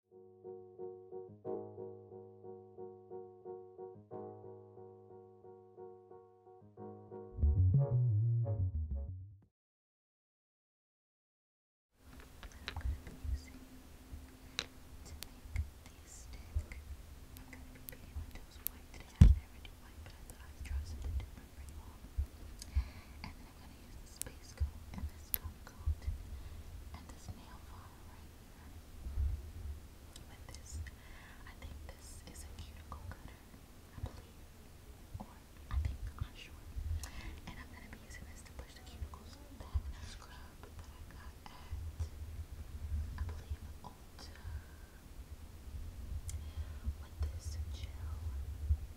using to make these stick. I'm going to be painting my white today. I never but I thought I'd try something different you I'm going to use the space coat and this top coat and this nail file right here. With this, I think this is a cuticle cutter, I believe, or I think, i sure. And I'm going to be using this to push the cuticles back. A scrub that I got at, I believe, Ulta. With this gel,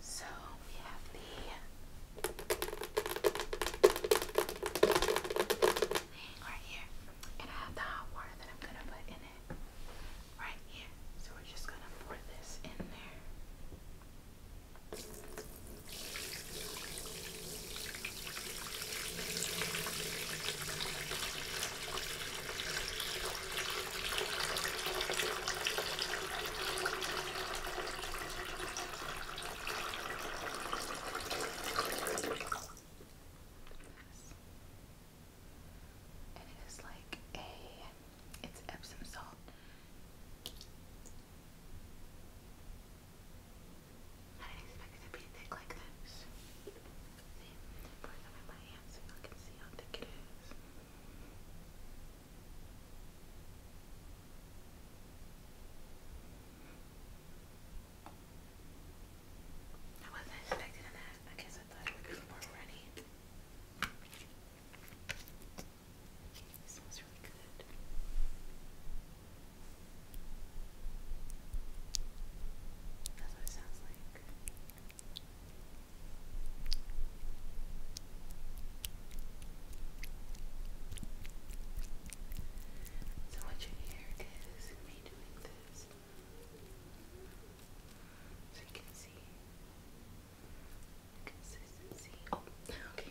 So we have the thing right here. And I have the hot water that I'm gonna put in it right here. So we're just gonna pour this in there. And it is like a it's Epsom salt. I didn't expect it to be thick like this. pour some in my hands so you can see how thick it is. I wasn't expecting that. I guess I thought it would be more runny. smells really good. That's what it sounds like. So what you is me doing this. So you can see consistency. Oh, okay.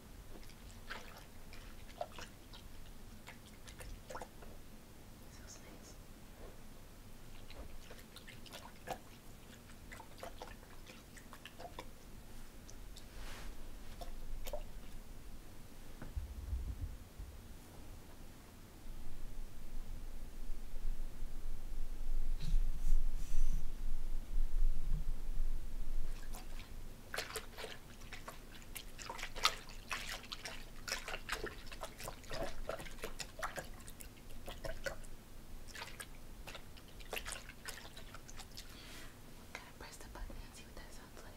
Feels nice. Can I press the button and see what that sounds like?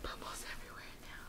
Bubbles everywhere now.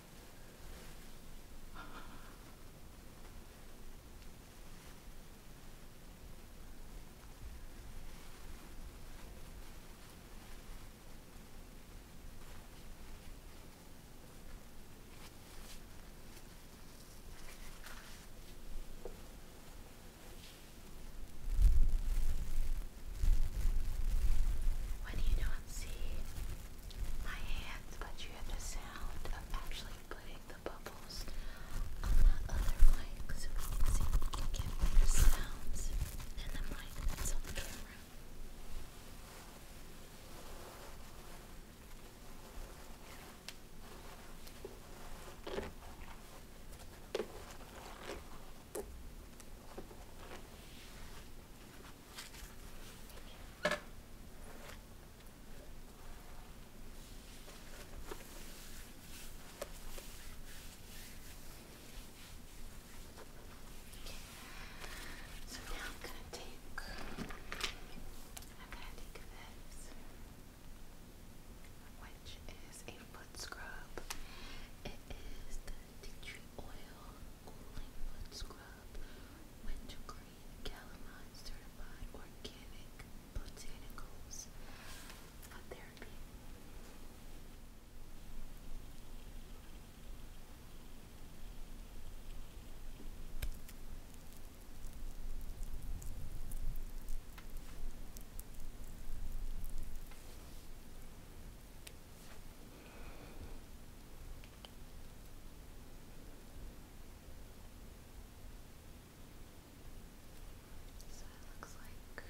When you not see my hands, but you have the sound of actually putting the bubbles on that other mic see if can get better sounds than the mic on camera. So now I'm gonna take I'm gonna take this which is a foot scrub. It is tea tree oil, cooling wood scrub, wintergreen, calamine certified organic botanicals, therapy. So it looks like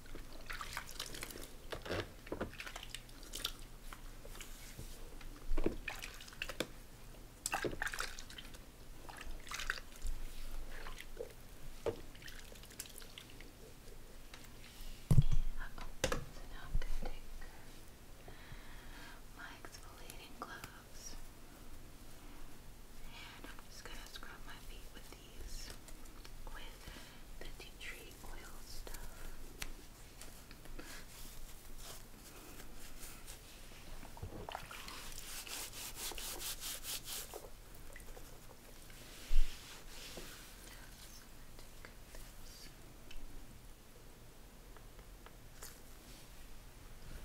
Uh-oh. So now I'm going to take my exfoliating gloves and I'm just going to scrub my feet with these with the tea tree oil stuff.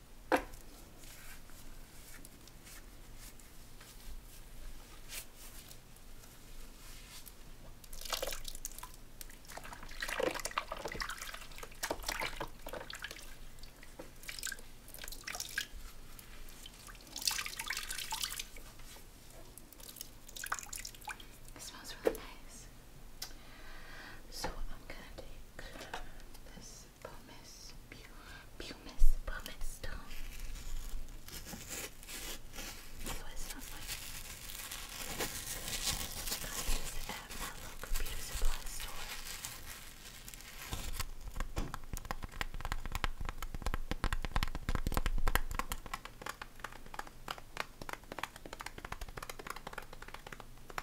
It smells really nice. So I'm gonna take this pumice, pumice, pumice stone. So it's not like I this at my local beauty supply store.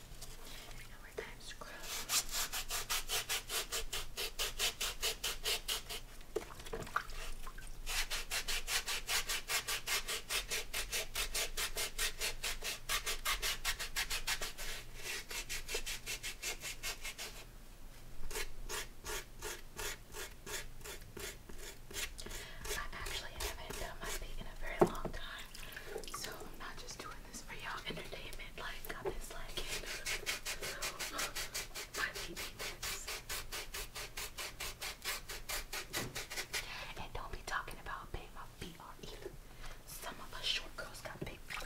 Now we I actually haven't done my feet in a very long time. So I'm not just doing this for y'all entertainment. Like I'm just like my baby's. And don't be talking about big my feet either. Some of us short girls got big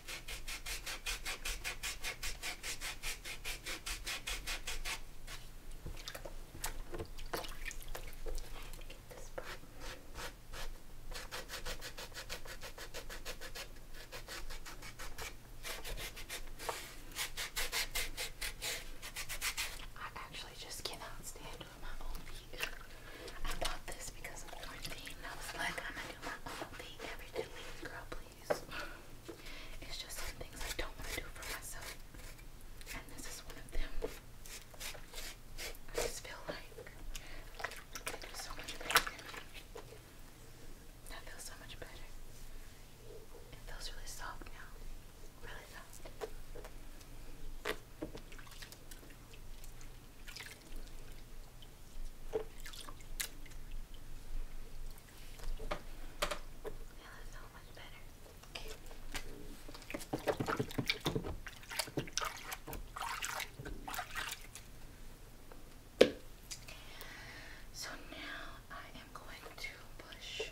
I actually just cannot stand my own feet. I bought this because of quarantine. I was like, I'm gonna do my own feet every girl, please. It's just some things I don't want to do for myself. And this is one of them. I just feel like they do so much better That feels so much better. It feels really soft now. Really soft so much better. So now I am going to push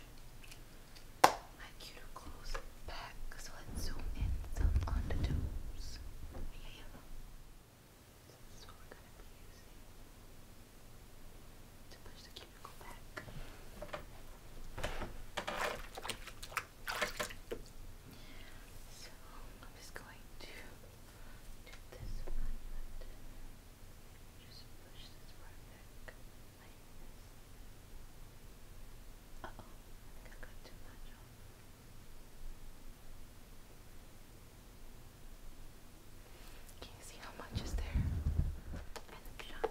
my cuticles back, so let's zoom in some on the toes. Yeah, yeah. This we're gonna push the cubicle back. So I'm just going to do this just push this part back Uh oh, I think I too much can you see how much is there? And the shot.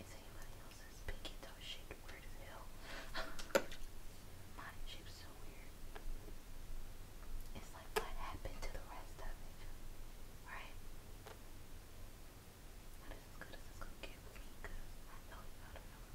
Is anybody else's pinky toe shaped weird as hell? Mine shape's so weird. It's like what happened to the rest of it, right? Not as good as it's gonna get for me, cause I know y'all don't know